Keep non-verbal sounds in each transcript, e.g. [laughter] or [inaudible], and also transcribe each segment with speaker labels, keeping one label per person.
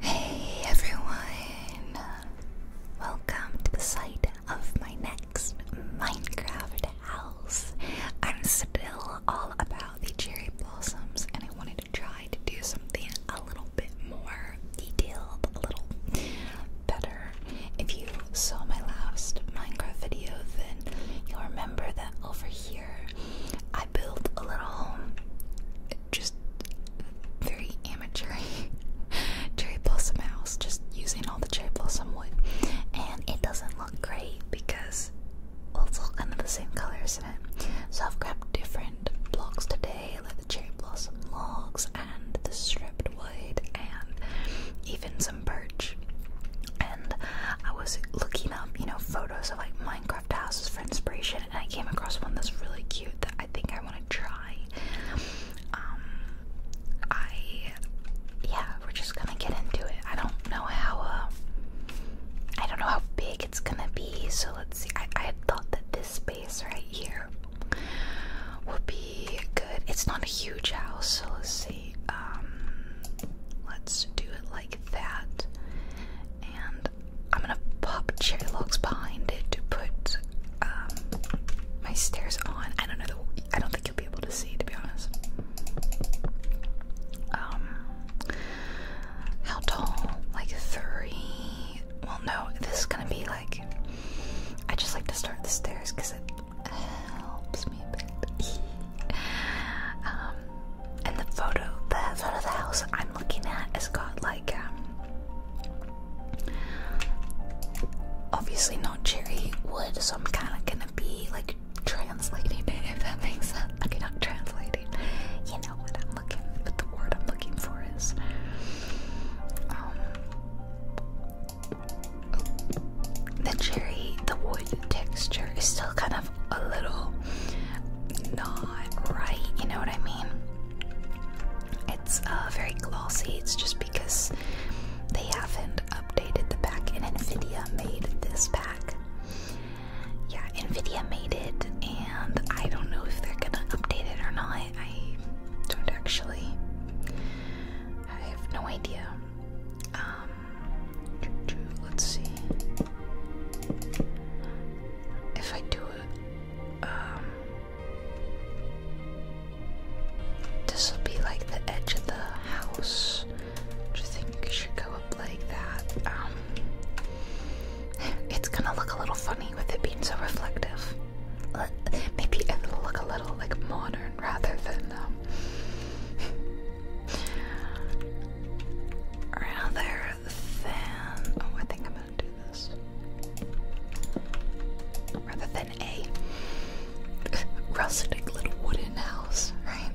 Speaker 1: Hey everyone! Welcome to the site of my next Minecraft house. I'm still all about the cherry blossoms and I wanted to try to do something a little bit more detailed, a little better. If you saw my last Minecraft video, then you'll remember that over here I built a little home, just very amateur [laughs] cherry blossom house, just using all the cherry blossom wood. And it doesn't look great because it's all kind of the same colors in it? So I've grabbed different blocks today, like the cherry blossom logs and the stripped wood and even some birch. And I was looking up, you know, photos of like Minecraft houses for inspiration, and I came across one that's really cute that I think I want to try. Um, I yeah, we're just gonna get into it. I don't know how. Uh, I don't know how big it's gonna be, so let's see. I, thought that this space right here would be good. It's not a huge house, so let's see. Um, let's do it like that. And I'm gonna pop cherry logs behind it to put um, my stairs on. I don't know. I don't think you'll be able to see, to be honest. Um, how tall? Like three? Well, no. This is gonna be like. I just like to start the stairs because it helps me a bit. [laughs] um, and the photo, the photo of the house I'm looking at has got like, um, obviously not cherry wood, so I'm kind of gonna be like translating it if that makes sense. Okay, not translating. You know what I'm looking, but the word I'm looking for is, um, the cherry, the wood texture is still kind of a little not right, you know what I mean? It's uh, very glossy, it's just because they haven't updated the pack and NVIDIA made this pack. Yeah, NVIDIA made it, and I don't know if they're gonna update it or not. I don't actually. I have no idea. Um, let's see. If I do it, um, this will be like the edge of the house, Do you think it should go up like that. Um, it's gonna look a little funny with it being so reflective. Uh, maybe it'll look a little like modern rather than um, [laughs] rather than oh I think I'm gonna do this. Rather than a [laughs] rustic little wooden house, right?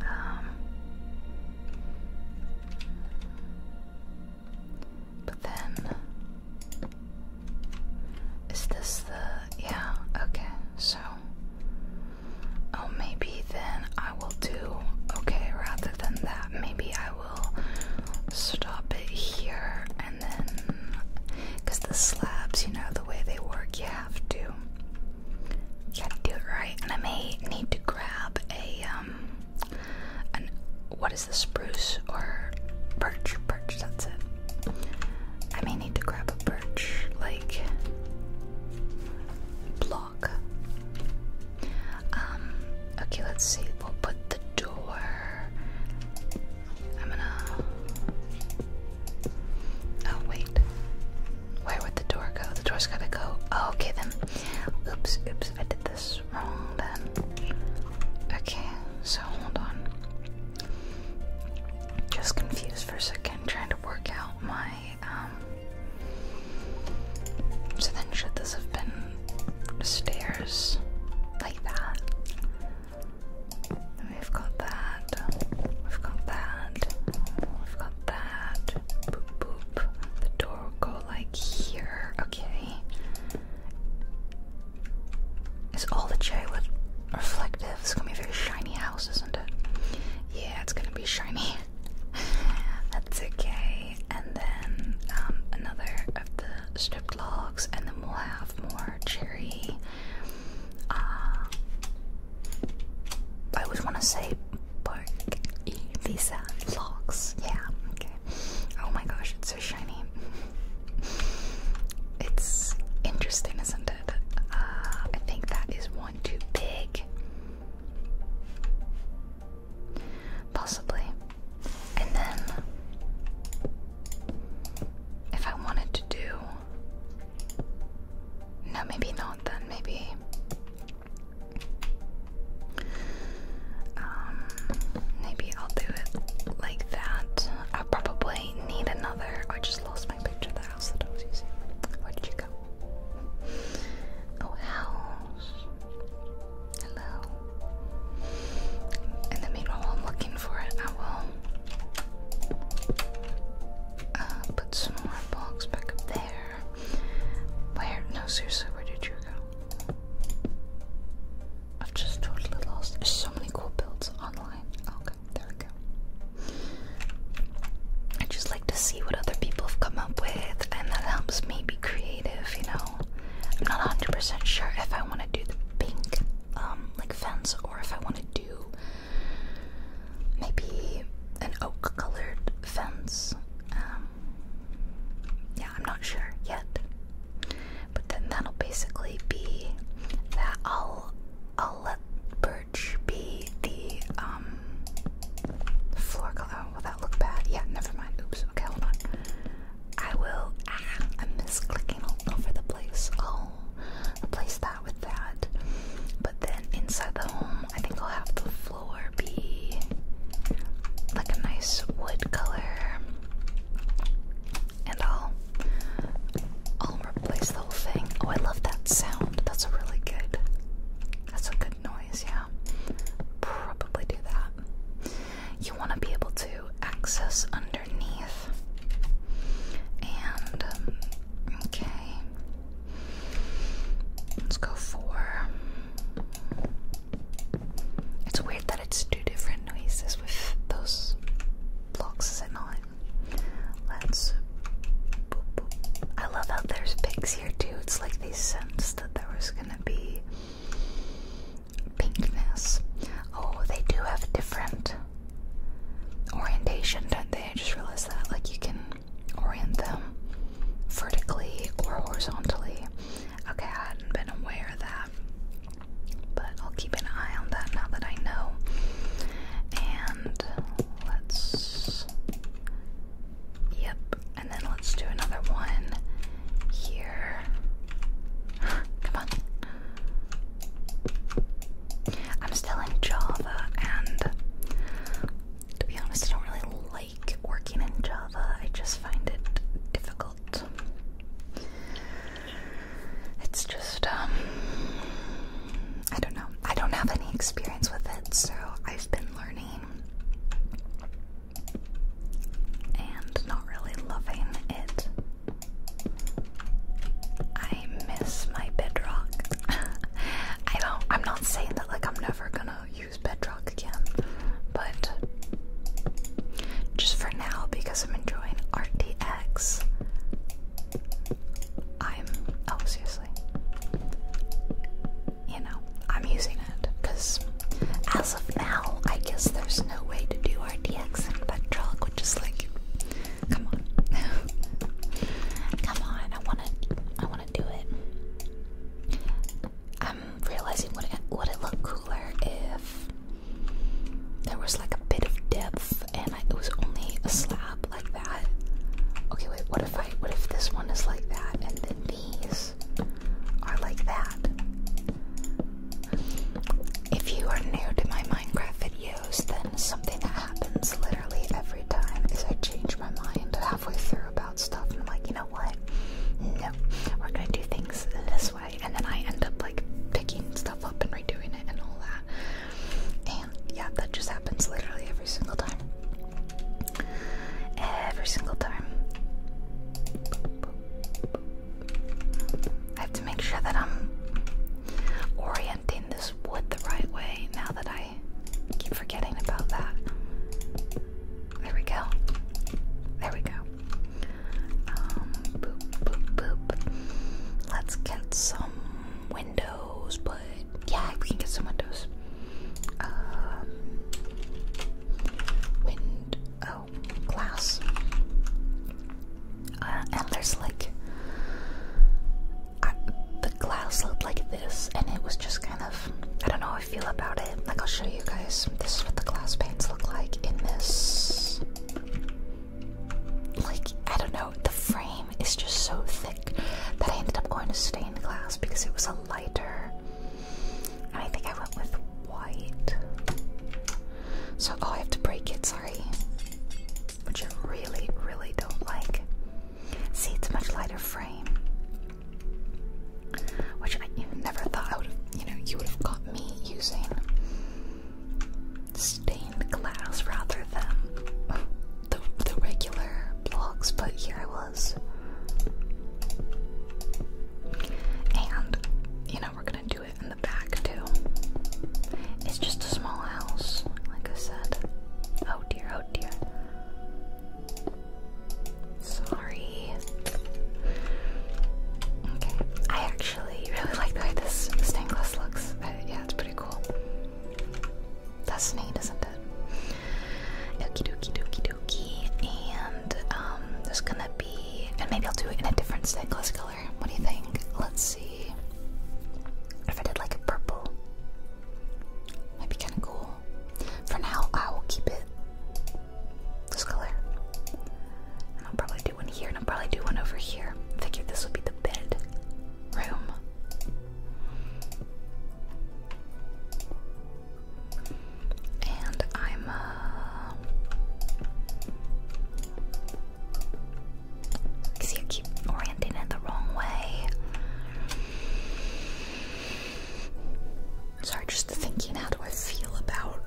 Speaker 1: Um But then is this the yeah, okay, so Oh, maybe then I will do. Okay, rather than that, maybe I will stop it here and then. Because the slabs, you know, the way they work, you have to. You gotta do it right. And I may need to grab a, um, an. What is the spruce or birch? Birch, that's it. I may need to grab a birch, like, block. Um, okay, let's see. We'll put the door. I'm gonna. Oh, wait. Where would the door go? The door's gotta go. Oh, okay then. Oops, oops, I did this wrong then. Okay, so hold on. Just confused for a second. I'm trying to work out my, um. So then, should this have been stairs like that? We've got that. We've got that. We've got that. Boop, boop. The door will go like here. Okay. Is all the j wood reflective? It's gonna be a very shiny house, isn't yeah, it's gonna be shiny. [laughs] That's okay. And then um, another of the stripped logs, and then we'll have more cherry. Uh, I always want to say bark visa logs. Yeah, okay. Oh my gosh, it's so shiny. [laughs] It's interesting, isn't it? Uh, I think that is one too big? Possibly. And then, if I wanted to do. No, maybe not then, maybe. Um, maybe I'll do it like that. i probably need another. I just lost picture the house that I was using. Where did you go? Oh, house. Hello. And then meanwhile, while I'm looking for it, I will uh, put some more blocks back up there. Where? No, seriously, where did you go? I've just totally lost. There's so many cool builds online. Okay, there we go. I just like to see what other people have come up with, and that helps me be creative, you know. I'm not 100% sure if I want to do the pink, um, like fence, or if I want to do maybe an oak colored fence. Um, yeah, I'm not sure yet. But then that'll basically be that I'll I'll let be the um, floor color? will oh, that look bad? Yeah, never mind. Oops. Okay, hold on. I will. Ah, I'm misclicking all over the place. Oh, will replace that with that. But then inside the home, I think I'll have the floor be like a nice wood color. And i I'll replace the whole thing. Oh, I love that sound. That's a really good. That's a good noise. Yeah, probably do that. You want to be able to access underneath. And um, okay, let's go for. It's weird that it's two different noises with those blocks, is it not? Let's. I love how there's pigs here too. It's like they sensed that there was gonna be pinkness. Oh, they do have different orientation, don't they? I just realized that. Like you can orient them vertically or horizontally. Okay, I hadn't been aware of that. But I'll keep an eye on that now that I know. And let's Yep, and then let's do another one here. [gasps] Come on. I'm still in Java, and to be honest, I don't really like working in Java. I just find it difficult. It's just, um, I don't know. I don't have any experience with it, so I've been learning and not really loving it. I miss my bedrock. [laughs] I don't I'm not saying that like I'm never gonna use bedrock again, but just for now because I'm enjoying RTX I'm oh seriously. You know, I'm using it because as of now, I guess there's no way to do RTX in Bedrock, which is like, come on, [laughs] come on, I wanna, I wanna do it. I'm realizing would it would it look cooler if there was like a bit of depth and it was only a slab, like that. Okay, wait, what if I what if this one is like that and then these are like that? If you are new to my Minecraft videos, then something that happens literally every time is I change my mind halfway through about stuff and I'm like, you know what? No, we're gonna do things this way and then I end up like picking stuff up and redoing it and all that yeah, that just happens literally every single time. Every single time. I have to make sure that I'm orienting this wood the right way now that I keep forgetting about that. There we go. There we go. Um, boop, boop, boop. Let's get some windows, but yeah, we can get some windows. Um, wind. Oh, glass. Uh, and there's like. the glass looked like this, and it was just kind of. I don't know how I feel about it. Like, I'll show you guys. This is what the glass panes look like in this. Like, I don't know. The frame it's just so thick that I ended up going to stained glass because it was a lighter. And I think I went with white. So, oh, I have to break it, sorry. Which I really, really don't like. See, it's a much lighter frame. Which I never thought I would have, you know, you would have got me using stained glass rather than the, the regular blogs, but here I was. And, you know, we're gonna do it in the back too. It's just a small house, like I said. Oh dear, oh dear. Sorry. Okay, I actually really like the way this stained glass looks. I, uh, yeah, it's pretty cool. That's neat, isn't it? Okie dokie dokie dokie. And um, there's gonna be, and maybe I'll do it in a different stained glass color. What do you think? Let's see. If I did like a purple, might be kind of cool. For now, I will keep it this color. And I'll probably do one here, and I'll probably do one over here. I figured this would be the bed room. And I'm uh, see I keep orienting it the wrong way. Sorry, just thinking how do I feel about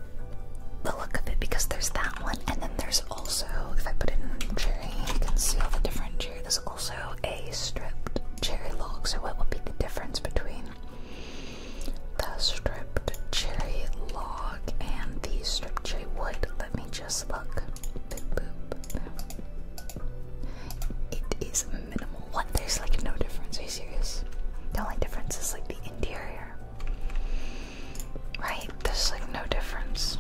Speaker 1: the look of it because there's that one and then there's also if I put in cherry you can see all the different cherry also a stripped cherry log. So, what would be the difference between the stripped cherry log and the stripped cherry wood? Let me just look. It is minimal. What? There's like no difference. Are you serious? The only difference is like the interior. Right? There's like no difference.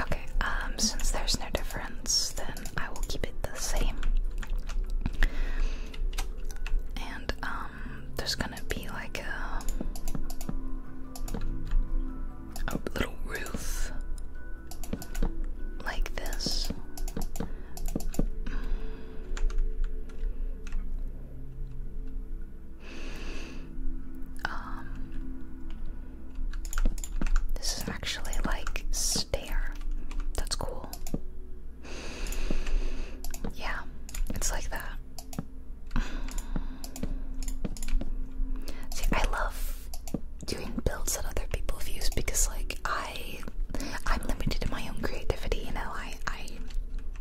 Speaker 1: Okay, um, since there's no difference, then I will keep it the same. And, um, there's gonna be like a little roof like this. Um, this is actually like stair. That's cool. Yeah, it's like that. See, I love doing builds that other people have because, like, I I'm limited in my own creativity. You know, I I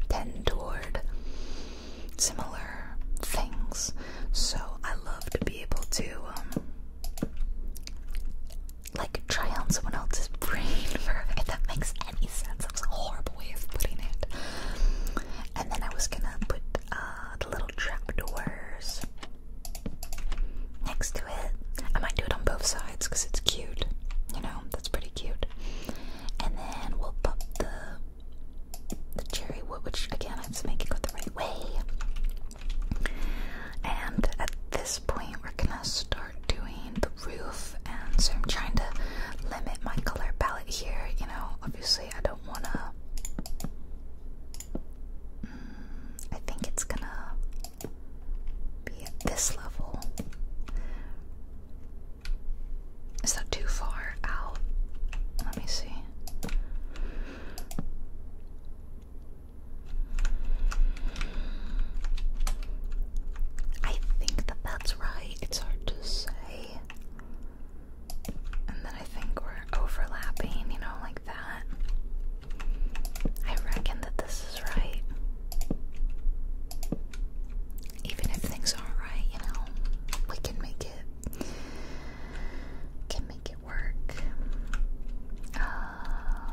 Speaker 1: tend toward similar things, so I love to be able to um, like try on someone else's [laughs] brain for if that makes any sense. That was a horrible way of putting it. And then I was gonna put uh, the little trapdoors next to it. I might do it on both sides because it's cute. You know, that's pretty cute. And then we'll pop the the cherry wood, which again I have to make it go the right way. And at this point, we're gonna start doing the roof, and so I'm trying to limit my color palette here. You know, obviously, I don't wanna. Mm, I think it's gonna be at this level. Is that too far out? Let me see. I think that that's right. It's hard to say. And then I think we're overlapping, you know, like that. I reckon that this is right. Even if things aren't right, you know, we can make it can make it work. Uh,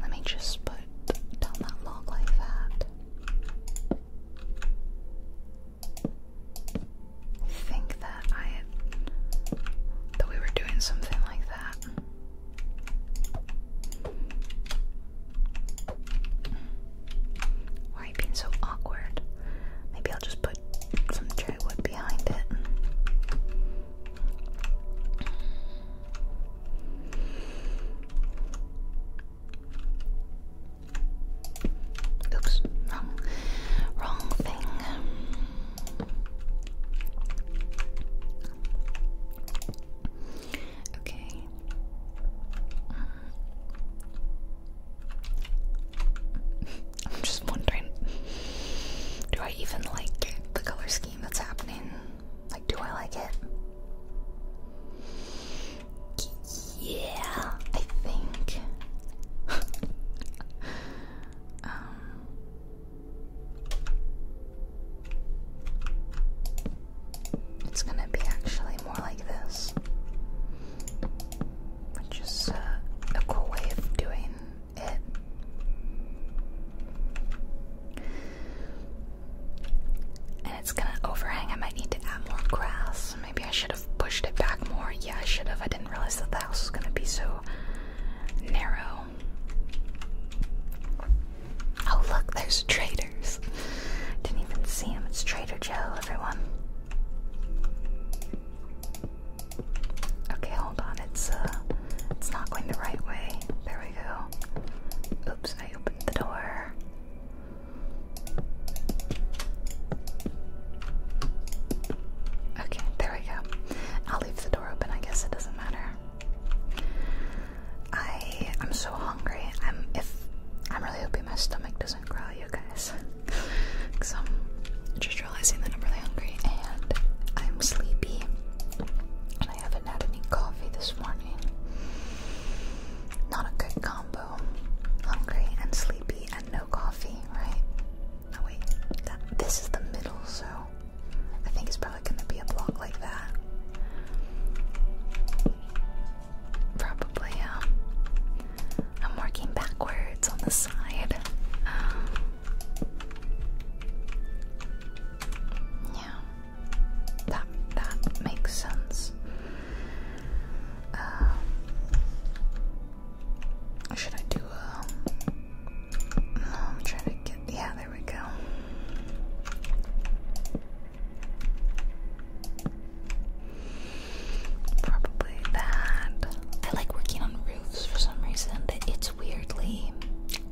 Speaker 1: let me just put down that log like that. Think that I that we were doing something like that. Why you being so awkward? Maybe I'll just put some cherry wood behind it. Oops, wrong, wrong thing. Okay. I'm just wondering do I even like the color scheme that's happening? Like, do I like it? Yeah, I think. [laughs] um. It's gonna be actually more like this which uh, is a cool way of doing it. And it's gonna overhang. I might need to add more grass. Maybe I should have pushed it back more. Yeah, I should have. I didn't realize that the house was gonna be so narrow. Oh, look, there's traders. Didn't even see him. It's Trader Joe, everyone. Okay, hold on. It's uh, it's not going the right way. There we go. Oops, I opened the door. Okay, there we go. I'll leave the door open. I guess it doesn't matter. I I'm so hungry. I'm if I'm really hoping my stomach doesn't growl, you guys. Because I'm just realizing that I'm really hungry and I'm sleepy. And I haven't had any coffee this morning. Not a good combo. Hungry and sleepy and no coffee, right? wait. this is the middle, so I think it's probably going to be a block like that. Probably, yeah. I'm working backwards on the side. Um, yeah, that that makes sense. Uh, should I do a? Um, trying to get. Yeah, there we go. Probably that. I like working on for some reason. that It's weirdly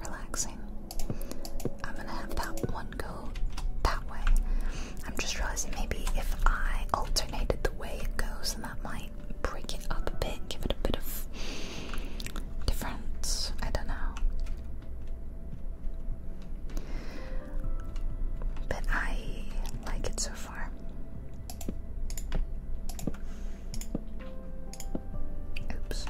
Speaker 1: relaxing. I'm gonna have that one go that way. I'm just realizing maybe if I alternated the way it goes, then that might break it up a bit, give it a bit of difference. I don't know. But I like it so far. Oops.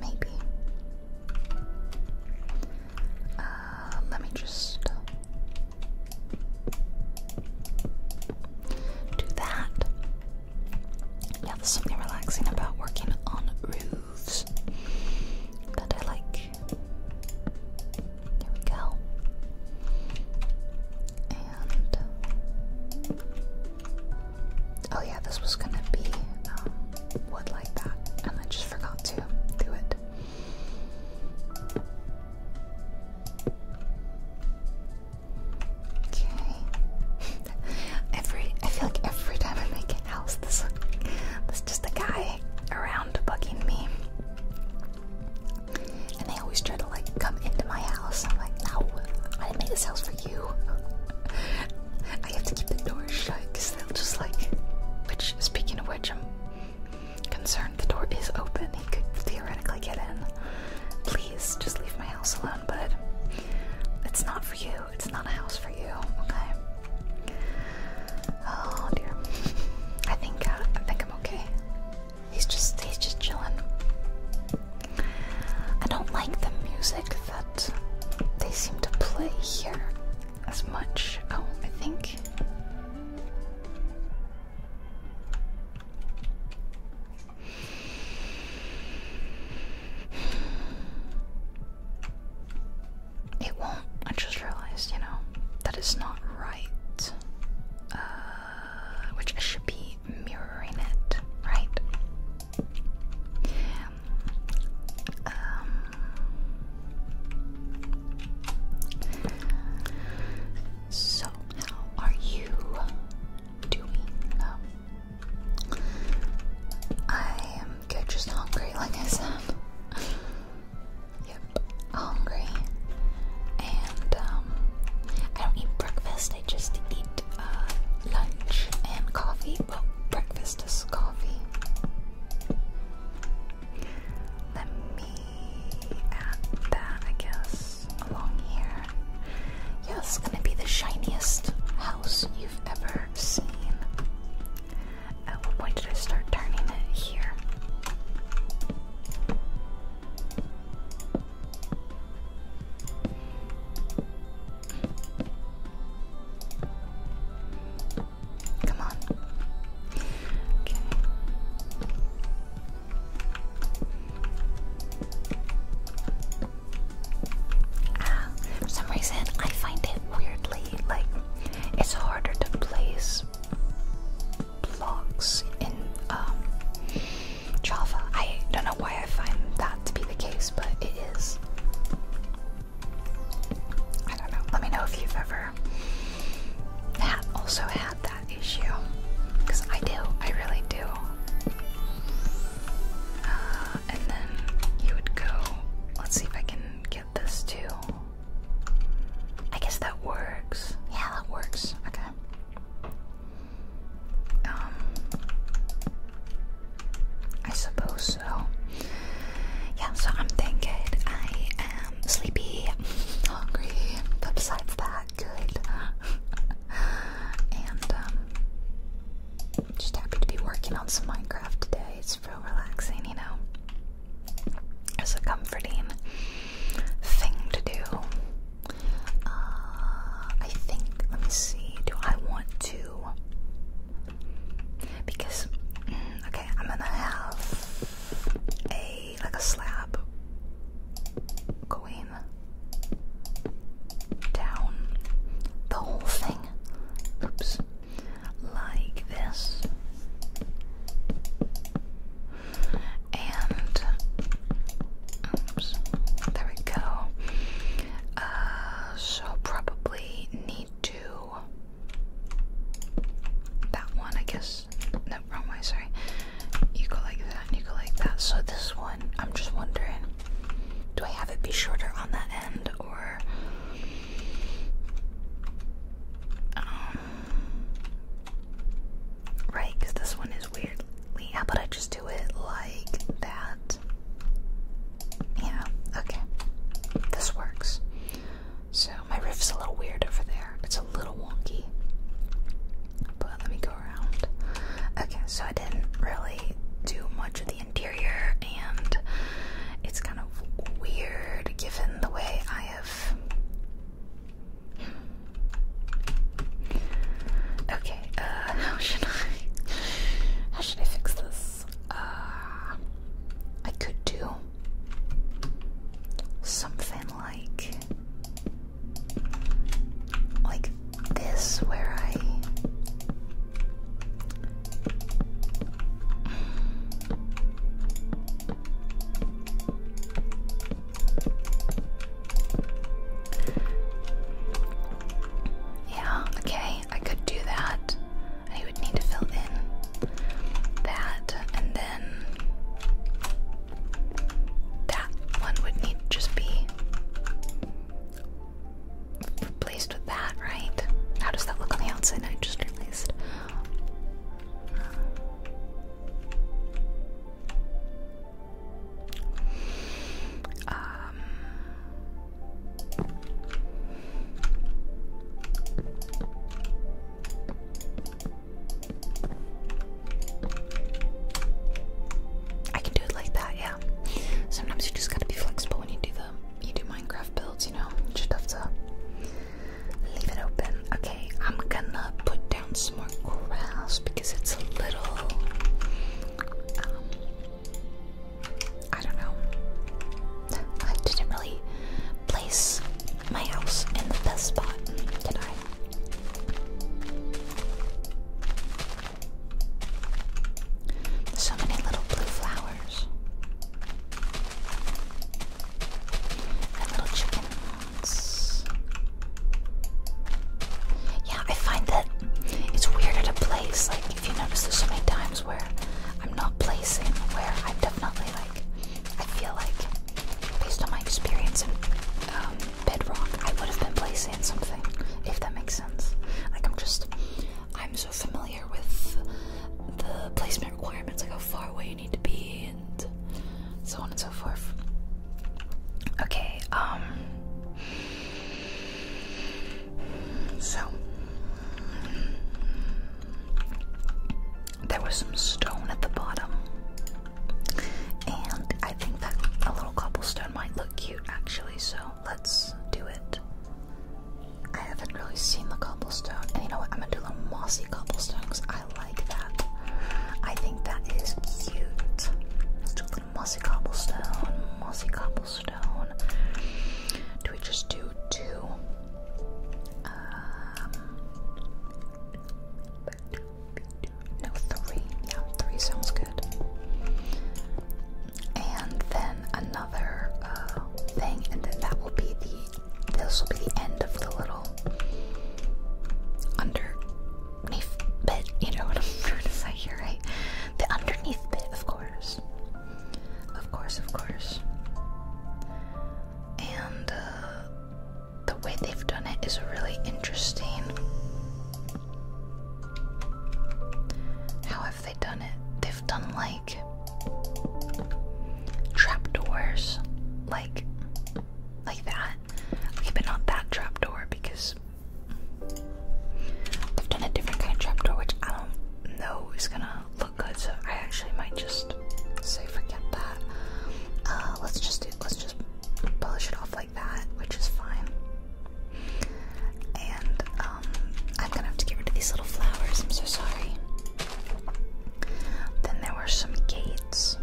Speaker 1: Maybe. Uh, let me just do that. Yeah, there's something relaxing about working on roofs that I like. There we go. And oh yeah, this was gonna be um, wood like that, and I just forgot to do it. Okay. [laughs] every I feel like every time I make a house, this there's just a guy around bugging me, and they always try to like come into my house. I'm like, no, I didn't make this house for you. I have to keep the door shut because they'll just like. Which, speaking of which, I'm concerned the door is open. He could theoretically get in. Please, just leave my house alone but it's not for you. It's not a house for you. Okay. Oh dear. I think uh, I think I'm okay. He's just he's just chilling. I don't like the music that they seem to play here as much. Oh, I think. It won't. I just realized, you know, that not right. Uh, which I should be mirroring it, right? Um, so, how are you doing? I am just hungry, like I said. [laughs] yep, hungry. And um, I don't eat breakfast, I just eat uh, lunch and coffee. Well, breakfast is coffee. Let me add that, I guess house along here. Yeah, gonna be the shiniest house you've ever seen. At what point did I start turning it here? Come on. Okay for some reason, I find it weirdly like it's harder to place blocks in um, Java. I don't know why I find that to be the case, but it is. I don't know. Let me know if you've ever had also had that issue, because I do. I really do. Uh, and then you would go. Let's see if I can get this too. I guess that works. Yeah, that works. Okay. Um, I suppose so. Yeah, so I'm thinking I am sleepy, hungry, but besides that, good. [laughs] and um, just happy to be working on some Minecraft today. It's real relaxing, you know. It's a comforting thing to do. Uh, I think, let me see, do I want to? Because, mm, okay, I'm gonna have a, like a slab going down the whole thing. Oops. Like this. And there we go. Uh, so probably need to that one, I guess. No, wrong Sorry. You go like and you go like that. So this one, I'm just wondering, do I have it be shorter on that end or um, right? Because this one is weirdly. How about I just do it like that? Yeah. Okay. This works. So my riff is a little weird over there. It's a little wonky. But let me Okay, so I didn't really do much of the interior, and it's kind of weird given the way I have. Okay, uh, [laughs] how should I? How should I fix this? Uh, I could do something like like this where I Yeah, okay, I could do that. I would need to fill in that and then that one would need to just be replaced with that, right? How does that look on the outside? I just realized. Um, I can do it like that, yeah. Sometimes you just gotta be flexible when you do the, You do Minecraft builds, you know. You just have to leave it open. Okay, I'm gonna put down some more grass because it's a little. Um, I don't know. I didn't really place my house in the best spot, did I? So many little blue flowers. And little chickens. Yeah, I find that it's weird at a place. Like, if you notice, there's so many times where I'm not placing, where I'm definitely like, I feel like, based on my experience in um, Bedrock, I would have been placing something, if that makes sense. Like I'm just, I'm so familiar with the placement requirements, like how far away you need to be, and so on and so forth. Okay, um, so there was some stone at the bottom, and I think that a little cobblestone might look cute actually. So let's do it. I haven't really seen the cobblestone, and you know what? I'm gonna do little mossy cobblestones. I like that. I think that is cute. Let's do a little mossy cobblestone, mossy cobblestone. Do we just do two? Um, no, three. Yeah, three sounds good and then another uh, thing, and then that will be the this will be the end of the little underneath bit. You know what I'm [laughs] trying to say here, right? The underneath bit, of course, of course, of course. And uh, the way they've done it is really interesting. However have they done it? They've done like trapdoors, like like that. Okay, but not that trapdoor because they've done a different kind of trapdoor, which I don't know is gonna look good. So I actually might just say forget that. Uh, let's just do, let's just polish it off like that, which is fine. And um, I'm gonna have to get rid of these little flowers. I'm so sorry. Then there were some gates.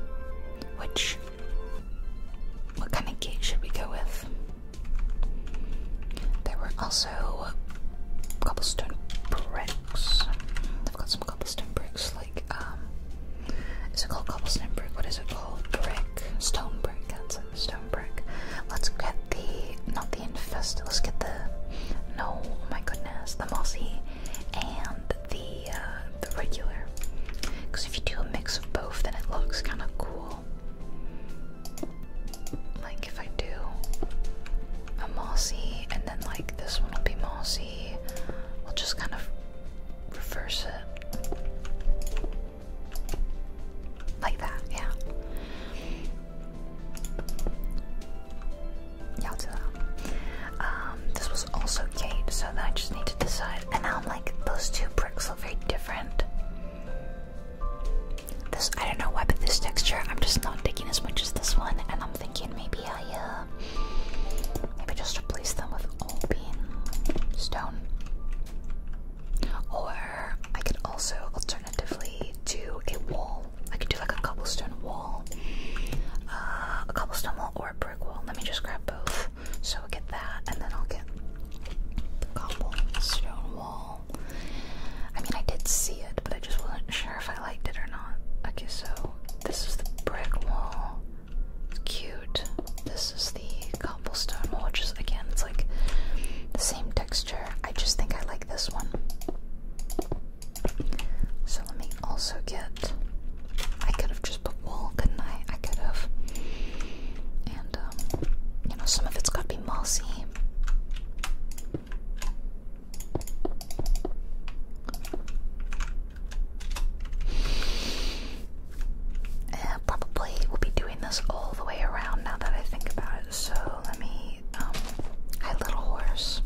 Speaker 1: Which. What kind of gate should we go with? There were also cobblestone bricks. I've got some cobblestone bricks, like, um. Is it called cobblestone brick? What is it called? Brick. Stone brick, that's it stone brick. Let's get the not the infest. Let's get the no. Oh my goodness, the mossy and the uh, the regular. Because if you do a mix of both, then it looks kind of cool. Like if I do a mossy and then like this one will be mossy. We'll just kind of reverse it. Like that, yeah. 要知道. Um, this was also Kate, so I just need to decide. And now I'm like, those two bricks look very different. This, I don't know why, but this texture, I'm just not digging as much as this one, and I'm thinking maybe I, uh, maybe just replace them with all bean stone. Or I could also alternatively do a wall. I could do like a cobblestone wall, uh, a cobblestone wall or a brick wall. Let me just grab both. So I'll get that, and then I'll get the cobblestone wall. I mean, I did see it, but I just wasn't sure if I liked it or not. Okay, so this is the brick wall. cute. This is the which is Again, it's like the same texture. I just think I like this one. So let me also get. I could have just put wool, couldn't I? I could have. And, um, you know, some of it's got to be mossy. Uh, probably we'll be doing this all the way around now that I think about so let me, um, Little Horse.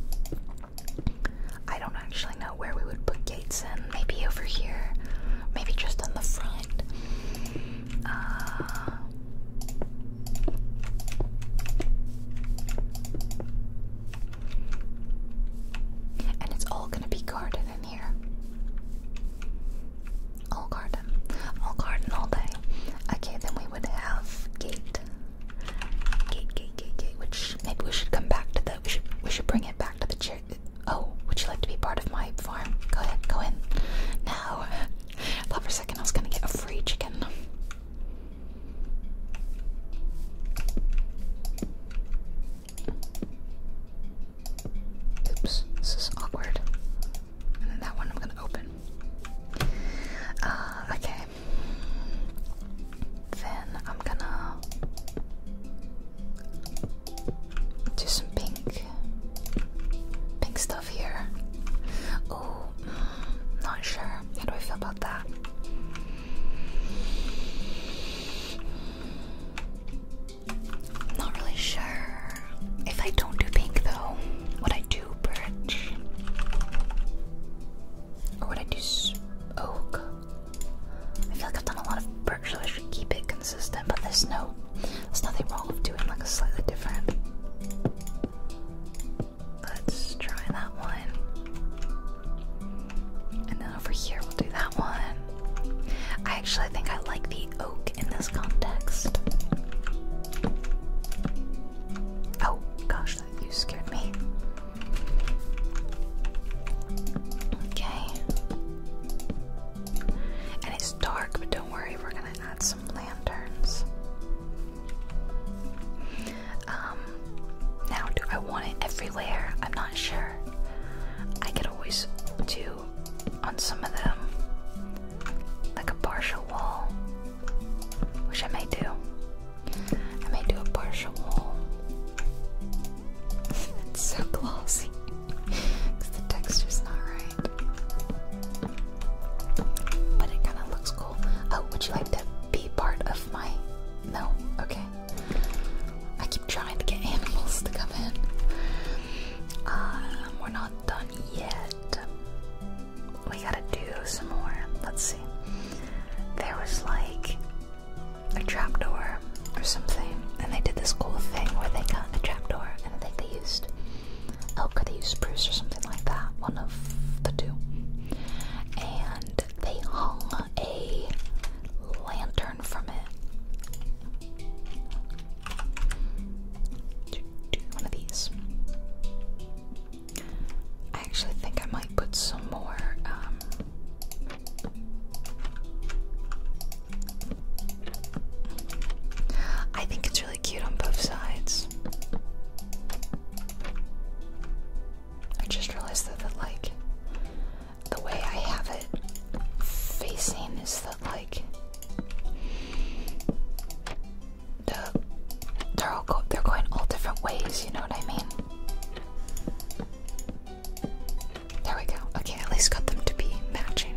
Speaker 1: I don't actually know where we would put gates in. Maybe over here. Maybe just on the front. Uh, and it's all gonna be guarded in here. All garden. All garden all day. Okay, then we would have gate. Gate, gate, gate, gate. Which maybe we should come back to the. We should we should bring it back to the chair. Oh, would you like to be part of my farm? Go ahead, go in. Now, I [laughs] thought for a second I was gonna get a free chicken. Oops, this is awkward and then that one I'm gonna open. Uh, okay. Then I'm gonna do some pink, pink stuff here. Oh, not sure. How do I feel about that? Not really sure. If I don't do pink though, what I do birch? Or would I do oak? I feel like I've done a lot of birch, so I should keep it consistent, but there's no, there's nothing wrong with doing like a slightly different. Let's try that one. And then over here, we'll do that one. I actually think I like these the in this context. Oh gosh, you scared me. Okay. And it's dark, but don't worry, we're gonna add some lanterns. Um now do I want it everywhere? I'm not sure. I could always do on some of them like a partial wall, which I may do. I may do a partial wall. [laughs] it's so glossy the texture's not right, but it kind of looks cool. Oh, would you like to be part of my? No, okay. I keep trying to get [laughs] animals to come in. Um, we're not done yet we gotta do some more. Let's see. There was like a trapdoor or something, and they did this cool thing where they got a trapdoor, and I think they used oak or they used spruce or something like that. One of the two. And they hung a lantern from it one of these. I actually think I might put some more um, I think it's really cute on both sides. I just realized that, that like the way I have it facing is that like they're all they're going all different ways. You know what I mean? There we go. Okay, at least got them to be matching.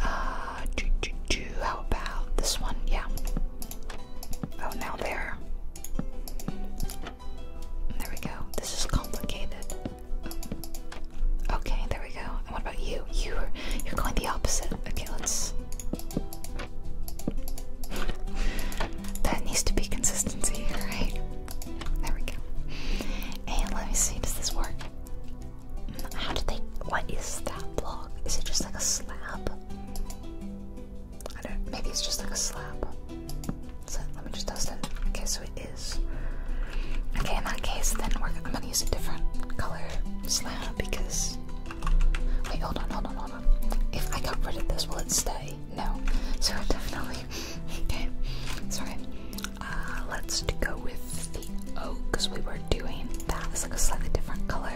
Speaker 1: Uh, do, do, do, how about this one? Yeah. Oh, now there. There we go. This is complicated. Okay, there we go. what about you? You you're going the opposite. Okay, let's there needs to be consistency, right? There we go. And let me see, does this work? How do they. What is that block? Is it just like a slab? Maybe it's just like a slab. let me just test it. Okay, so it is. Okay, in that case, then we're, I'm gonna use a different color slab because Wait, hold on, hold on, hold on. If I got rid of this, will it stay? No. So [laughs] definitely. okay. Sorry. Uh, let's go with the oak because we were doing that. It's like a slightly different color.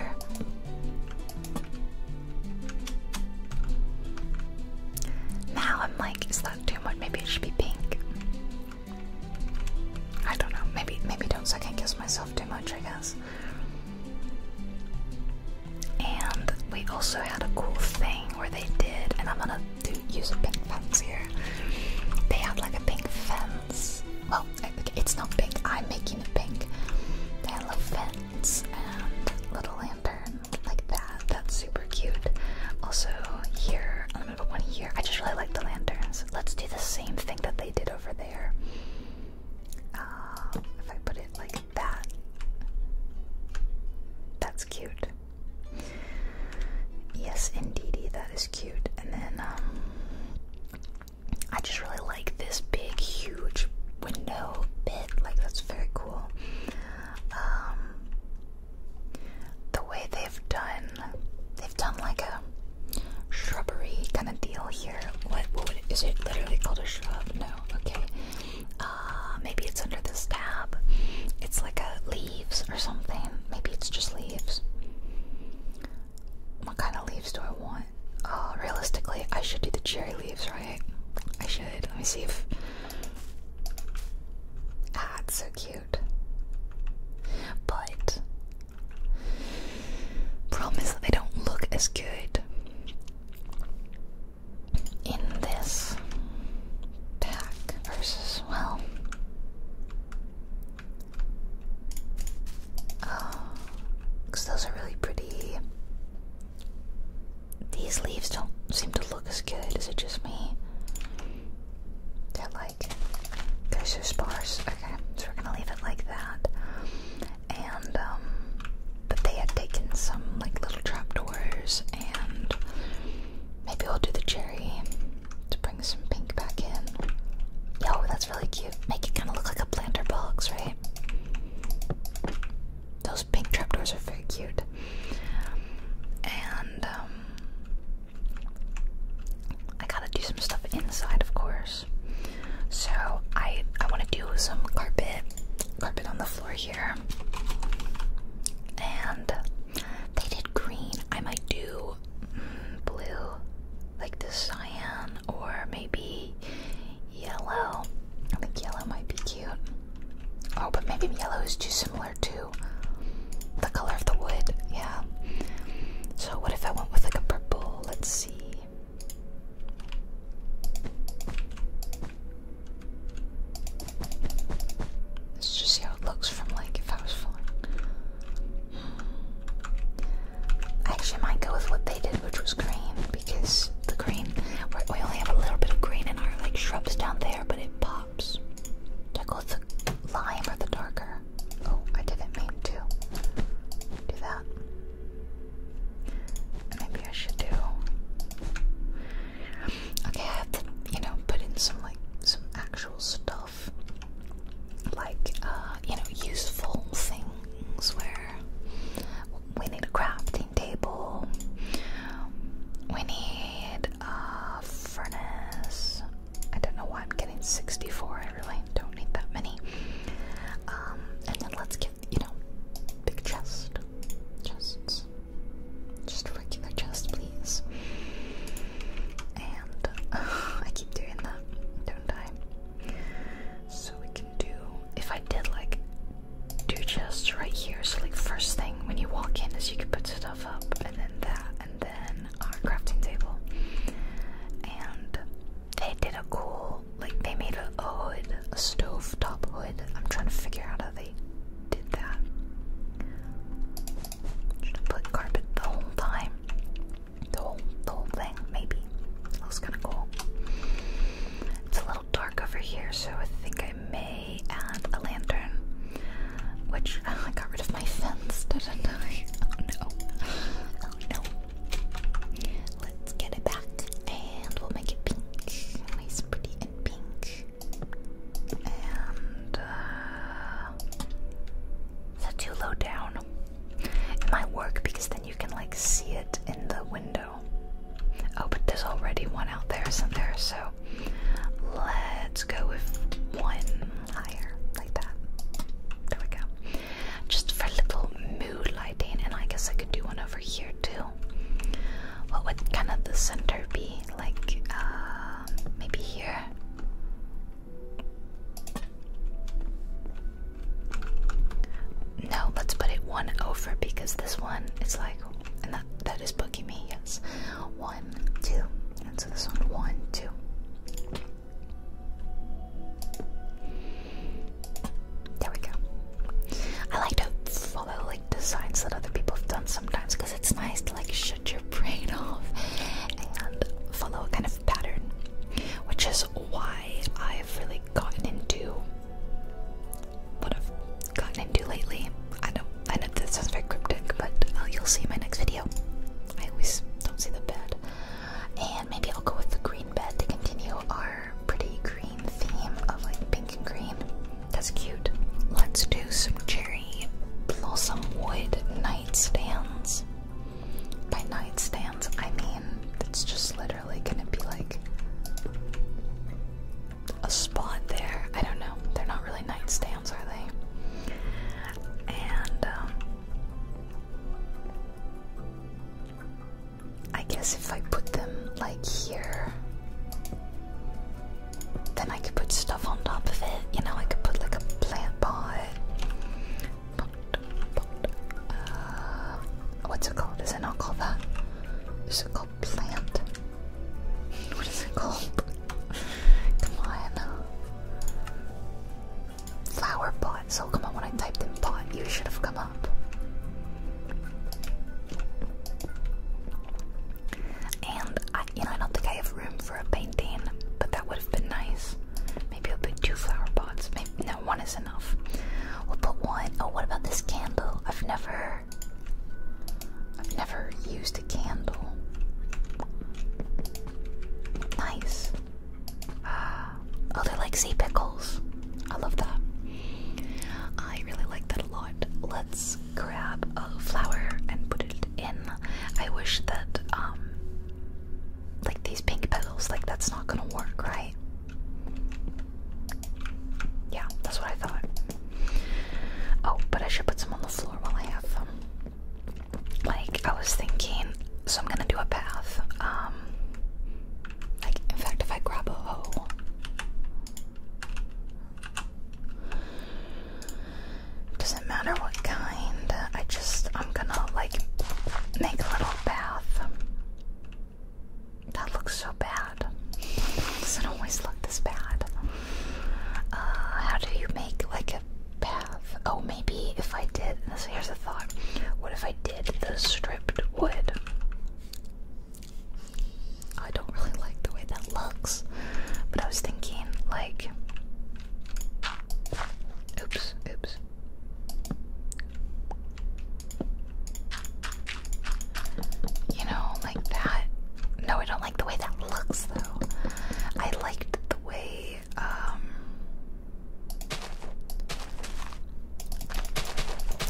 Speaker 1: Now I'm like, is that too much? Maybe it should be pink. I don't know. Maybe maybe don't second guess myself too much, I guess. And we also had a cool thing where they did, and I'm gonna do use a pink fence here. They had like a pink fence. Well, it's not pink. I'm making it pink. They had fence and little lantern like that. That's super cute. Also here, I'm gonna put one here. I just really like the lanterns. Let's do the same thing that they did over there. Uh, if I put it like that, that's cute. Yes, indeed, that is cute. And then um, I just really like this big, huge window bit. Like that's very cool. Um, the way they've done they've done like a shrubbery kind of deal here. What is it literally called a shrub? No, okay. Uh, maybe it's under this tab. It's like leaves or something. Maybe it's just leaves. What kind of leaves do I want? Oh, realistically, I should do the cherry leaves, right? I should. Let me see if. Ah, it's so cute. But Problem is that they don't look as good in this pack versus, well. Because uh, those are really pretty. These leaves don't seem to look as good. Is it just me? They're like they're so sparse. Okay, so we're gonna leave it like that. And um, but they had taken some like little trapdoors, and maybe we'll do the cherry to bring some pink back in. Yo, that's really cute. Make it kind of look like a planter box, right? Those pink trapdoors are very cute. And um, I gotta do some stuff inside, of course. So I I want to do some carpet carpet on the floor here. And they did green. I might do mm, blue, like the cyan, or maybe yellow. I think yellow might be cute. Oh, but maybe yellow is too similar to the color of the wood. Yeah. So what if I went with like a purple? Let's see. Let's just see how it looks from like if I was falling. I actually might go with what they did, which was green, because the green we only have a little bit of green in our like shrubs down there, but it pops. So I go with the lime or the darker. Oh, I didn't mean to do that. Maybe I should do. Okay, I have to, you know, put in some like some actual stuff, like uh, you know, useful things where we need a crafting table, we need a furnace. I don't know why I'm getting 64. I really don't need that many. Um, and then let's get, you know, big chest. Chests. Just regular chest, please. And uh, [laughs] I keep doing that, don't I? So we can do, if I did like two chests right here, so like first thing when you walk in is you can put stuff up, and then that, and then our crafting table. And they did a cool, like they made a, a hood, a stove top hood. I'm trying to figure out how they did that. Should have put carpet the whole time, the whole, the whole thing. Maybe that was kind of cool. It's a little dark over here, so I think I may add a lantern. Which [laughs] I got rid of my fence, didn't I? Oh, no! Oh, no! Let's get it back and we'll make it pink. Nice, pretty, and pink. And uh, too low down? It might work because then you can like see it in the window. Oh, but there's already one out there somewhere. So let's go with one higher, like that. There we go. Just for a little mood lighting, and I guess I could do one over here too. What would kind of the center be? Like, uh, maybe here? No, let's put it one over because this one is like, and that, that is booking me, yes. One, two, and so this one, one, two. There we go. I like to follow like designs that other people have done sometimes because it's nice to like shut your [laughs] brain off and follow a kind of pattern, which is why I've really gotten into what I've gotten into lately. I know I know this sounds very cryptic, but uh, you'll see in my next video. I always don't see the bed. And maybe I'll go with the green bed to continue our pretty green theme of like pink and green. That's cute. Let's do some cherry blossom wood nightstands. By nightstands, I mean it's just literally gonna be like a spot there. I don't know. They're not really nightstands, are they? And um, I guess if I put them like here, then I could put stuff on top of it. You know, I could put like a plant pot. Uh, what's it called? Is it not called that? Is it called plant? [laughs] What is it called? [laughs] Come on flower pot. So come on, when I typed in pot, you should have come up. And I, you know, I don't think I have room for a painting, but that would have been nice. Maybe I'll put two flower pots. Maybe no, one is enough. We'll put one. Oh, what about this candle? I've never, I've never used a candle. Nice. [gasps] Oh, they're like sea pickles. I love that. I really like that a lot. Let's grab a flower and put it in. I wish that, um, like these pink petals, like that's not gonna work, right? Yeah, that's what I thought. Oh, but I should put some on the floor while I have them. Like, I was thinking, so I'm gonna do a path. Um, like, in fact, if I grab a hole, Doesn't matter what kind. I just, I'm gonna like make a little path. That looks so bad. [laughs] Doesn't always look this bad. Uh, how do you make like a bath? Oh, maybe if I did. here's a thought. What if I the stripped wood. I don't really like the way that looks, but I was thinking, like. Oops, oops. You know, like that. No, I don't like the way that looks, though. I liked the way, um,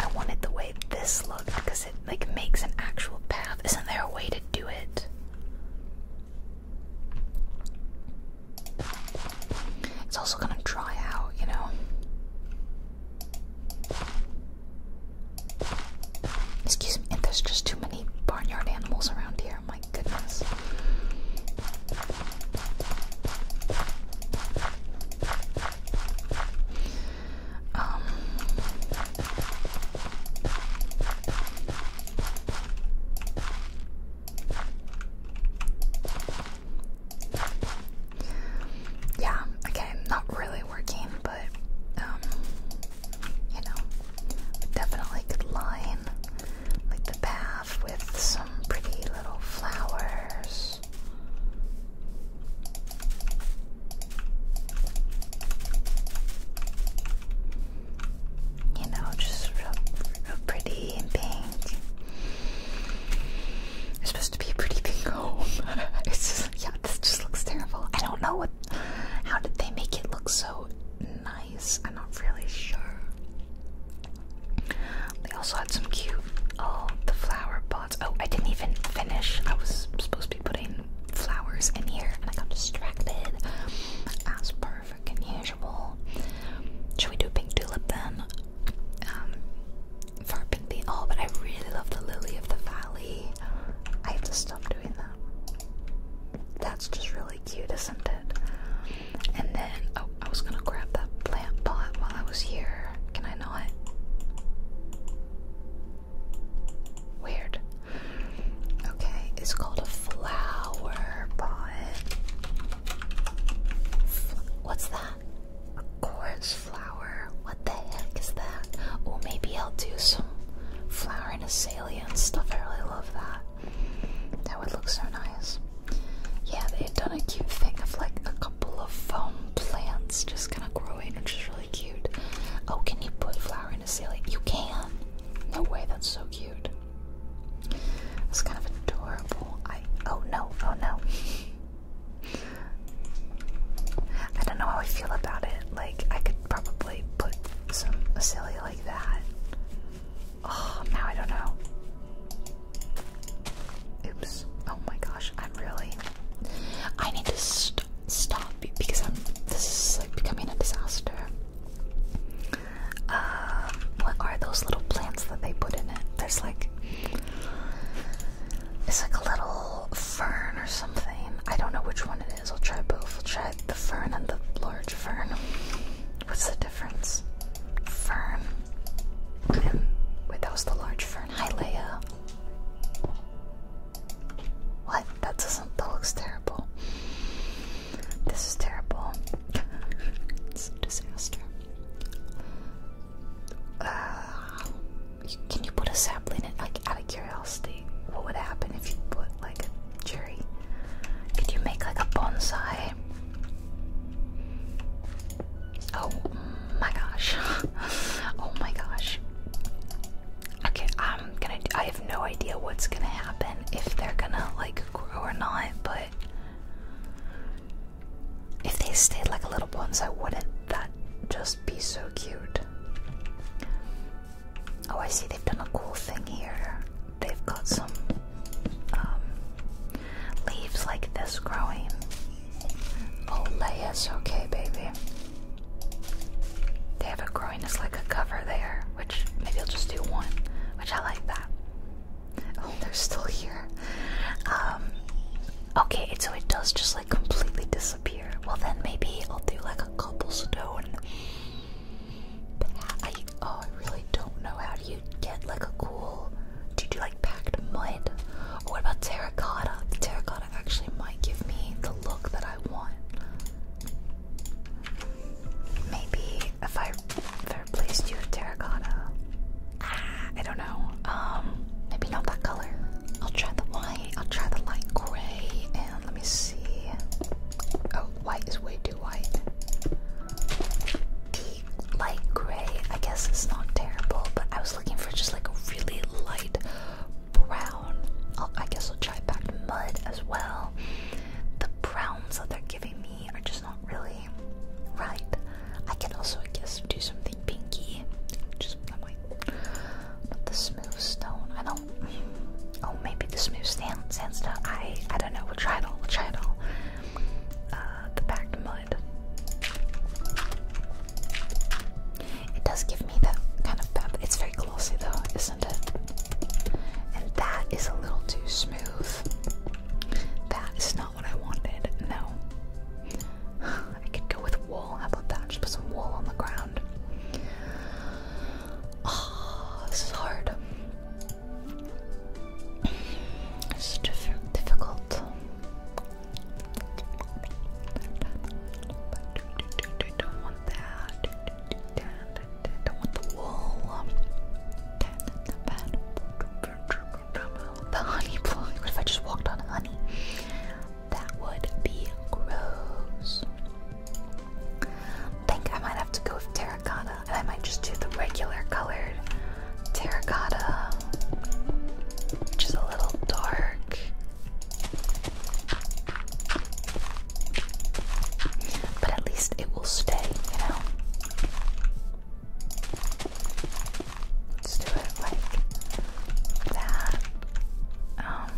Speaker 1: I wanted the way this looked because it like makes an actual path. Isn't there a way to do it? It's also gonna dry out, you know. Excuse me, there's just too many barnyard animals around here. My goodness. Um, yeah, okay, not really working, but um, you know, definitely line like the path with some pretty little flowers. You know, just real, real pretty and pink. It's supposed to be a pretty pink home. [laughs] it's just like, yeah, this just looks terrible. I don't know what. How did they make it look so nice? I'm not really sure. They also had some cute, oh, the flower pots. Oh, I didn't even finish. I was supposed to be putting flowers in here and I got distracted as perfect freaking usual. Should we do a pink tulip then? Um, for pink tulip. Oh, but I really love the lily of the valley. I have to stop doing that. That's just really cute, isn't it? And then, oh, I was gonna grab that plant pot while I was here. Can I not? Weird. Okay, it's called a flower pot. what's that? A gorse flower? What the heck is that? Oh, maybe I'll do some flower and azalea and stuff. I really love that. That would look so nice. Yeah, they had done a cute thing of like a couple of foam plants just kind of growing, which is really cute. Oh, can you put flower in a ceiling? You can! No way, that's so cute. It's kind of adorable. I oh no, oh no. I don't know how I feel about it. Like I could probably put some a like that. Oh now I don't know. Oops. Oh my gosh, I'm really. I need to stop because I'm. This is like becoming a disaster. Um, what are those little plants that they put in it? There's like. It's like a little fern or something. I don't know which one it is. I'll try both. I'll try the fern and the large fern. What's the difference? Fern wait, that was the large fern. Hi, Leia. What? That doesn't. That looks terrible. This is terrible. it's a disaster. Uh, can you put a sapling in? Like, out of curiosity, what would happen if you put like a cherry? Could you make like a bonsai? Oh, my gosh. [laughs] oh my gosh. Okay, I'm gonna. I have no idea what's gonna happen if they're gonna like grow or not, but if they stayed like little ones, I wouldn't that just be so cute? Oh, I see. They've done a cool thing here. They've got some um, leaves like this growing. Oh, layers, okay, baby. They have it growing as like a cover there, which maybe I'll just do one, which I like that. Oh, [laughs] they're still here. Um, okay, so it does just like completely disappear. Well, then maybe I'll do like a cobblestone. But oh, I really don't know how do you get like a cool. Do you do like packed mud. what about terracotta? The terracotta actually might give me the look that I want. Maybe if I, replaced you with terracotta. I don't know. Um, maybe not that color. I'll try the white. I'll try the light gray, and let me see. Oh, white is way too white light gray. I guess it's not terrible, but I was looking for just like a really light brown. i guess I'll try back mud as well. The browns that they're giving me are just not really right. I can also, guess, do something pinky. Just I the smooth stone, I don't. Oh, maybe the smooth sand, sandstone. I, I don't know. We'll try it all. We'll try it all. Uh, the packed mud. It does give me that kind of pep. It's very glossy though, isn't it? And that is a little too smooth. That is not what I wanted, no. [sighs] I could go with wool. How about that? Just put some wool on the ground. Oh, this is hard. It's diff difficult don't want that. don't want the wool. The honey blowing. What if I just walked on honey? That would be gross. think I might have to go with terracotta, and I might just do the regular colored terracotta, which is a little dark. But at least it will stay, you know? Let's do it like that. Um,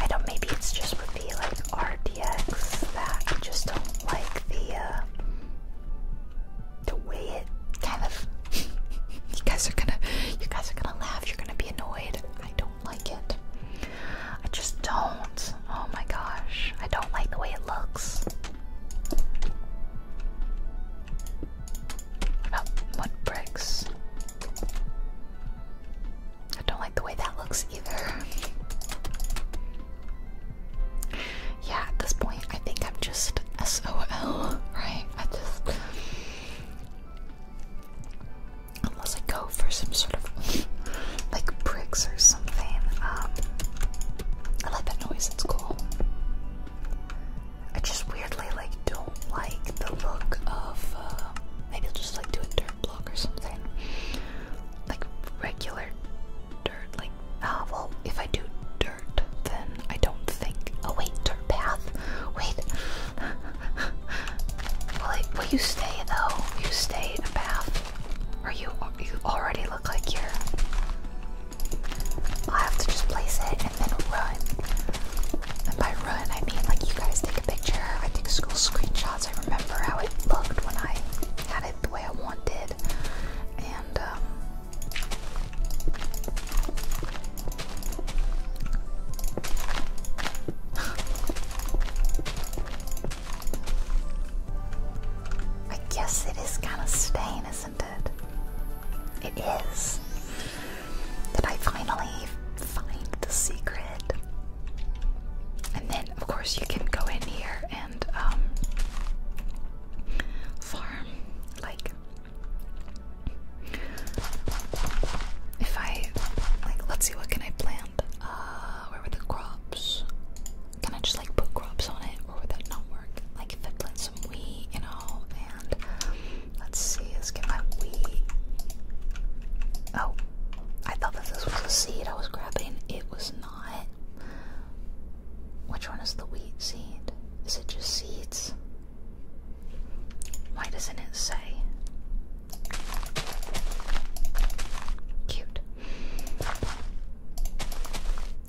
Speaker 1: I don't, maybe it's just with the like RDX that I just don't like the, uh, the way it, kind of. [laughs] you guys are gonna, you guys are gonna laugh. You're gonna be annoyed. I don't like it. I just don't. Oh my gosh, I don't like the way it looks. What bricks? I don't like the way that looks either. [laughs] yeah, at this point, I think I'm just SOL, right? I just. Unless I go for some sort of like bricks or something. Um, I like that noise, it's cool. I just weirdly like don't like the look of. Uh, maybe I'll just like do a dirt block or something. Like regular like, ah, if I do dirt, then I don't think, oh wait, dirt path, wait, [laughs] will, you stay though, you stay in a path, or you, you already look like you're, i have to just place it and then run, and by run I mean like you guys take a picture, I take school screenshots, I remember how it looked when I had it the way I wanted, and um, [laughs] I guess it is kind of stain, isn't it? It is. Did I finally find the secret? And then, of course, you can go in here and um, farm like if I like, let's see, what can I plant? Uh, where were the crops? Can I just like put crops on it, or would that not work? Like, if I plant some wheat, you know, and let's see, let's get my wheat. Oh, I thought that this was a seed I was grabbing. It was not. Which one is the wheat seed? Is it just seeds? Why doesn't it say? Cute.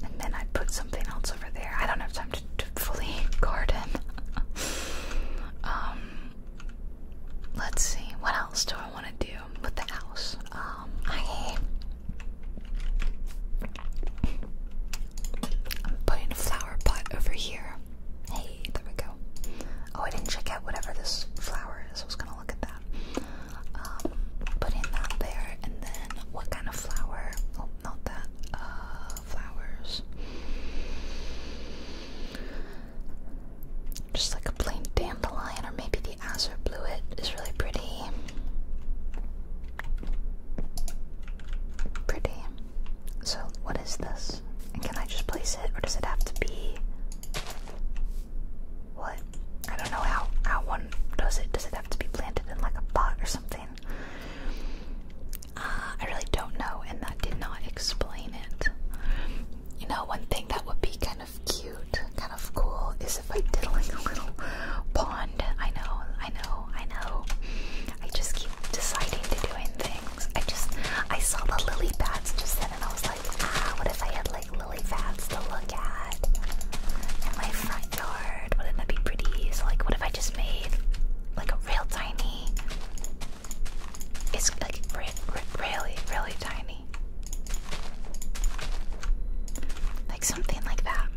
Speaker 1: And then I put something else over there. I don't have time to, fully [laughs] garden. um, let's see. What else do I want to do with the house? Um, I I'm putting a flower pot over here. Hey, there we go. Oh, I didn't check out whatever this flower is. I was gonna look at that. Um, putting that there, and then what kind of flower? Oh, not that. Uh, flowers. Just like a plain dandelion, or maybe the azure bluet is really pretty. Pretty. So, what is this? And can I just place it, or does it have to be. What? I don't know how, how one does it. Does it have to be planted in like a pot or something? Uh, I really don't know, and that did not explain it. You know, one thing that would be kind of cute, kind of cool, is if I did like a little pond I know, I know, I know. I just keep deciding to doing things. I just, I saw the lily pads just then and I was like, ah, what if I had like lily pads to look at in my front yard? Wouldn't that be pretty? So like, what if I just made like a real tiny, it's like re re really, really tiny. Like something like that.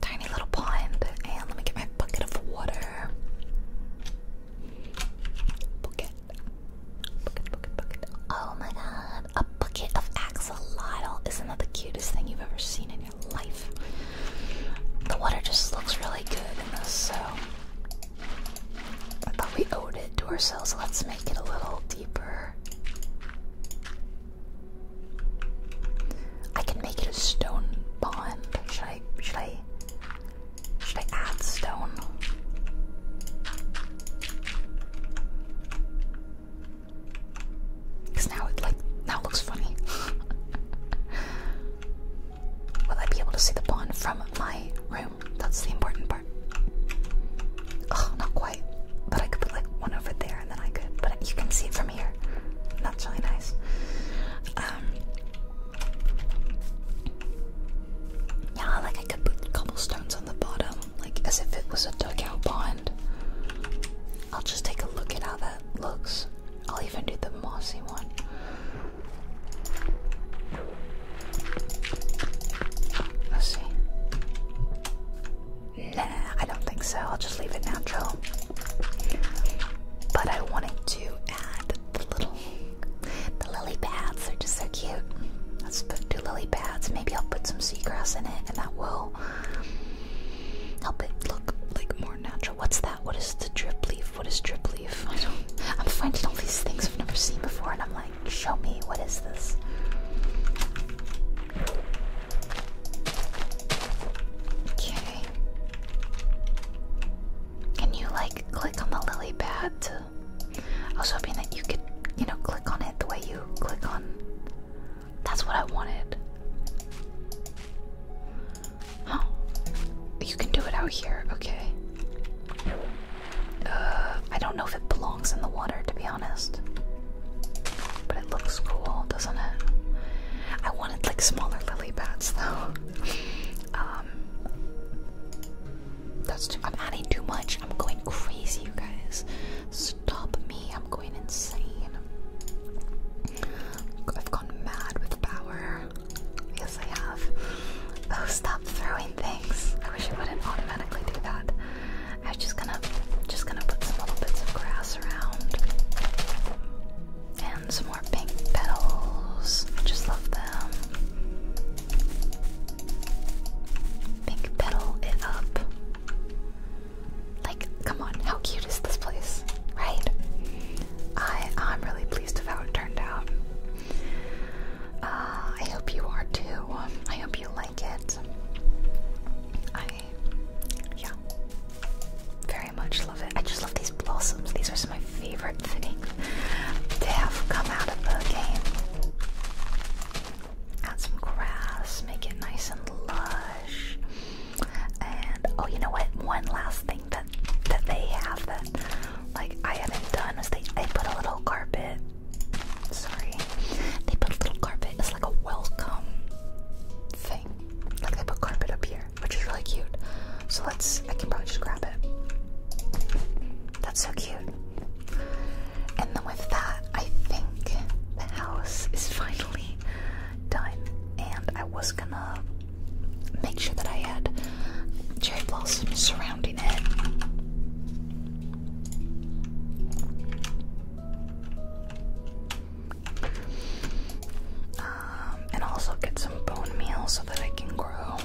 Speaker 1: Tiny little pond. And let me get my bucket of water. Bucket. Bucket, bucket, bucket. Oh my god. A bucket of axolotl. Isn't that the cutest thing you've ever seen in your life? The water just looks really good in this, so I thought we owed it to ourselves. Let's make it a little deeper. I can make it a stone pond. Should I should I should I add stone? Cause now it like now looks funny. [laughs] Will I be able to see the pond from my room? That's the important part. Oh, not but I could put like one over there and then I could, but you can see it from here. That's really nice. Um, yeah, like I could put cobblestones on the bottom, like as if it was a dugout pond. I'll just take a look at how that looks. I'll even do the mossy one. Let's see. Nah, I don't think so. I'll just leave it natural. But I wanted to add the little the lily pads. They're just so cute. Let's put two lily pads. Maybe I'll put some seagrass in it, and that will help it look like more natural. What's that? What is the drip leaf? What is drip leaf? I don't. I'm finding all these things I've never seen before, and I'm like, show me. What is this? Okay. Can you like click on the lily pad? I was hoping that you could, you know, click on it the way you click on. That's what I wanted. Huh? You can do it out here. Okay. Uh, I don't know if it belongs in the water, to be honest. But it looks cool, doesn't it? I wanted like smaller lily pads [laughs] though. Um, that's too. I'm adding too much. I'm going crazy, you guys. Stop me. I'm going insane. I've gone mad with power. Yes, I have. Oh, stop throwing things. I wish it wouldn't automatically do that. I am just gonna just gonna put some little bits of grass around and some more pink petals. I just love them. Pink petal it up. Like, come on, how cute is this place, right? I I'm really pleased with how it turned out. Uh, I hope you are too. I hope you like it. I yeah, very much love it. I just love these blossoms. These are my favorite things to have come out of the game. Add some grass, make it nice and lush. And oh, you know what? One last thing that that they have that like I haven't done is they they put a little carpet. Sorry, they put a little carpet. It's like a welcome thing like they put carpet up here, which is really cute. So let's, I can probably just grab it. That's so cute. And then with that, I think the house is finally done. And I was gonna make sure that I had cherry blossoms surrounding it. Um, and also get some bone meal so that I can grow.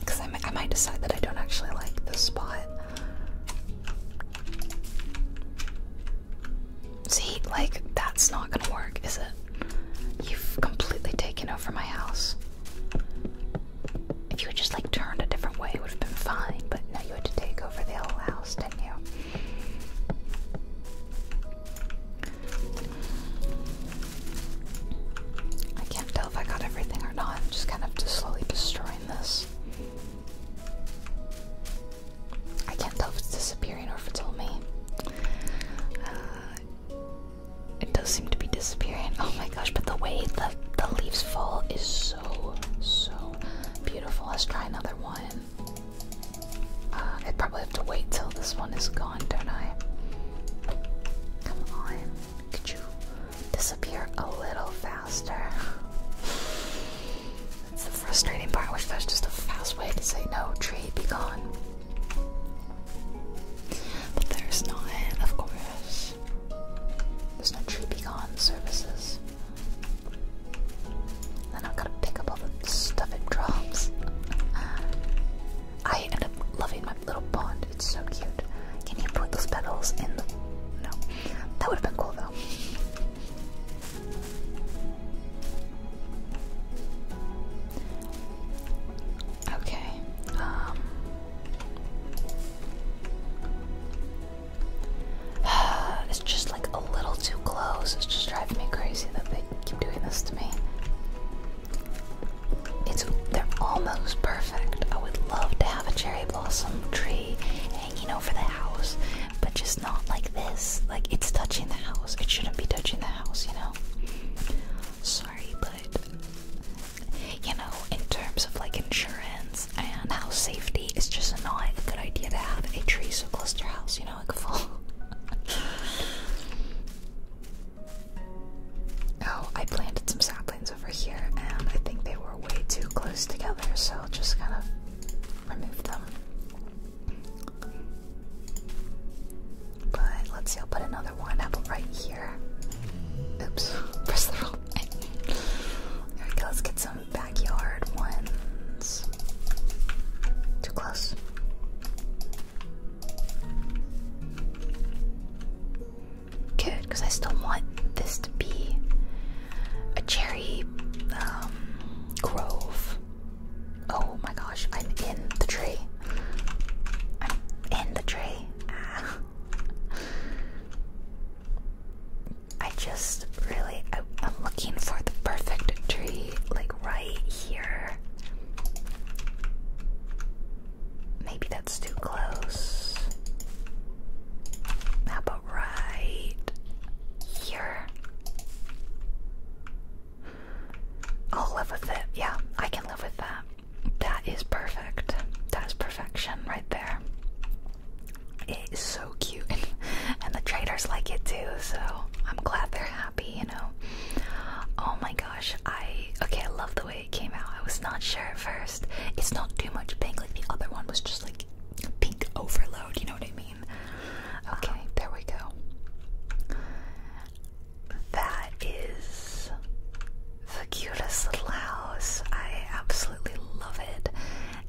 Speaker 1: Because I, might decide that I don't actually like this spot. See, like, that's not gonna work, is it? You've completely taken over my house. If you had just, like, turned a different way, it would have been fine, but now you had to take over the whole house. I can't tell if I got everything or not. I'm just kind of just slowly destroying this. I can't tell if it's disappearing or if it's all me. Uh, it does seem to be disappearing. Oh my gosh, but the way the, the leaves fall is so, so beautiful. Let's try another one. Uh, I probably have to wait till this one is gone, don't I? Come on, could you disappear a little faster? That's the frustrating part. I wish there just a fast way to say no, tree, be gone. But there's not, of course. There's no tree be gone services. Then I've got to pick up all the stuff it drops. I end up loving my little pond. It's so cute. Can you put those petals in the... No. That would have been cool though. Okay. Um. [sighs] it's just like a little too close. It's just driving me crazy that they keep doing this to me. It's they're almost perfect. I would love to have a cherry blossom tree hanging over the house, but just not like this. Like it's touching the house. It shouldn't be touching the house, you know. Sorry, but you know, in terms of like insurance and house safety, it's just not a good idea to have a tree so close to your house, you know. [laughs] oh, I planted some saplings over here, and I think they were way too close together, so I'll just kind of remove them. But let's see, I'll put another one apple right here. Oops, [laughs] There we go, let's get some backyard ones. Too close. Good, because I still want this to be a cherry um, grove. Oh my gosh, I'm in the tree. I'm in the tree. Ah. [laughs] I just really, I, am looking for the perfect tree, like right here. Maybe that's too close. How about right here? I'll live with it. Yeah, I can live with that. That is perfect. That is perfection right there. It is so cute, and, the traders like it too. So I'm glad they're happy. You know. Oh my gosh! I okay. I love the way it came out. I was not sure at first. It's not too much pink. Like the other one was just like pink overload. You know what I mean? Okay, uh-huh. there we go. That is the cutest little house. I absolutely love it.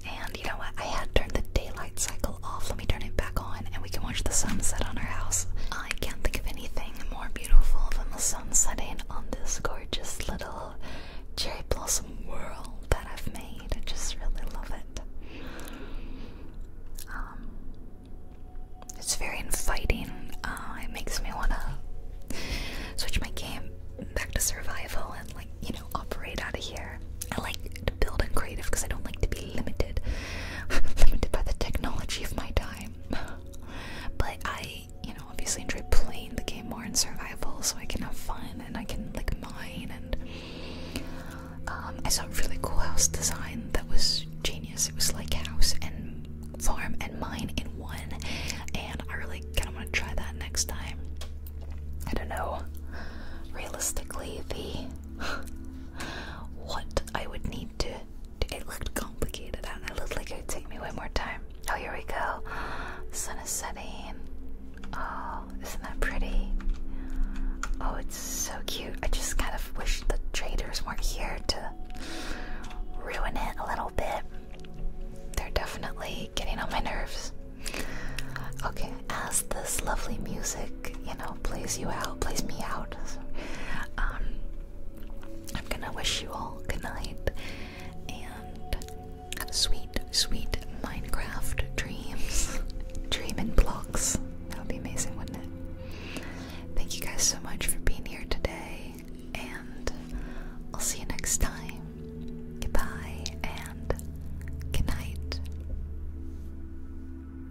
Speaker 1: And. And you know what? I had turned the daylight cycle off. Let me turn it back on and we can watch the sunset on our house. I can't think of anything more beautiful than the sun setting on this gorgeous little cherry blossom world that I've made. I just really love it. Um, it's very inviting. Uh, it makes me want to switch my game back to survival and, like, you know, operate out of here. I like to build and creative because I don't like to be limited, [laughs] limited by the technology of my time. [laughs] but I, you know, obviously enjoy playing the game more in survival, so I can have fun and I can like mine. And um, I saw a really cool house design that was genius. It was like house and farm and mine in one, and I really kind of want to try that next time. I don't know. Realistically, the [sighs] what I would need to, to. It looked complicated it looked like it would take me one more time. Oh, here we go. The Sun is setting. Oh, isn't that pretty? Oh, it's so cute. I just kind of wish the traders weren't here to ruin it a little bit. They're definitely getting on my nerves. Okay, as this lovely music, you know, plays you out, plays me out, um, I'm gonna wish you all good night and sweet, sweet Minecraft dreams, [laughs] dreaming blocks. That would be amazing, wouldn't it? Thank you guys so much for being here today, and I'll see you next time. Goodbye and good night.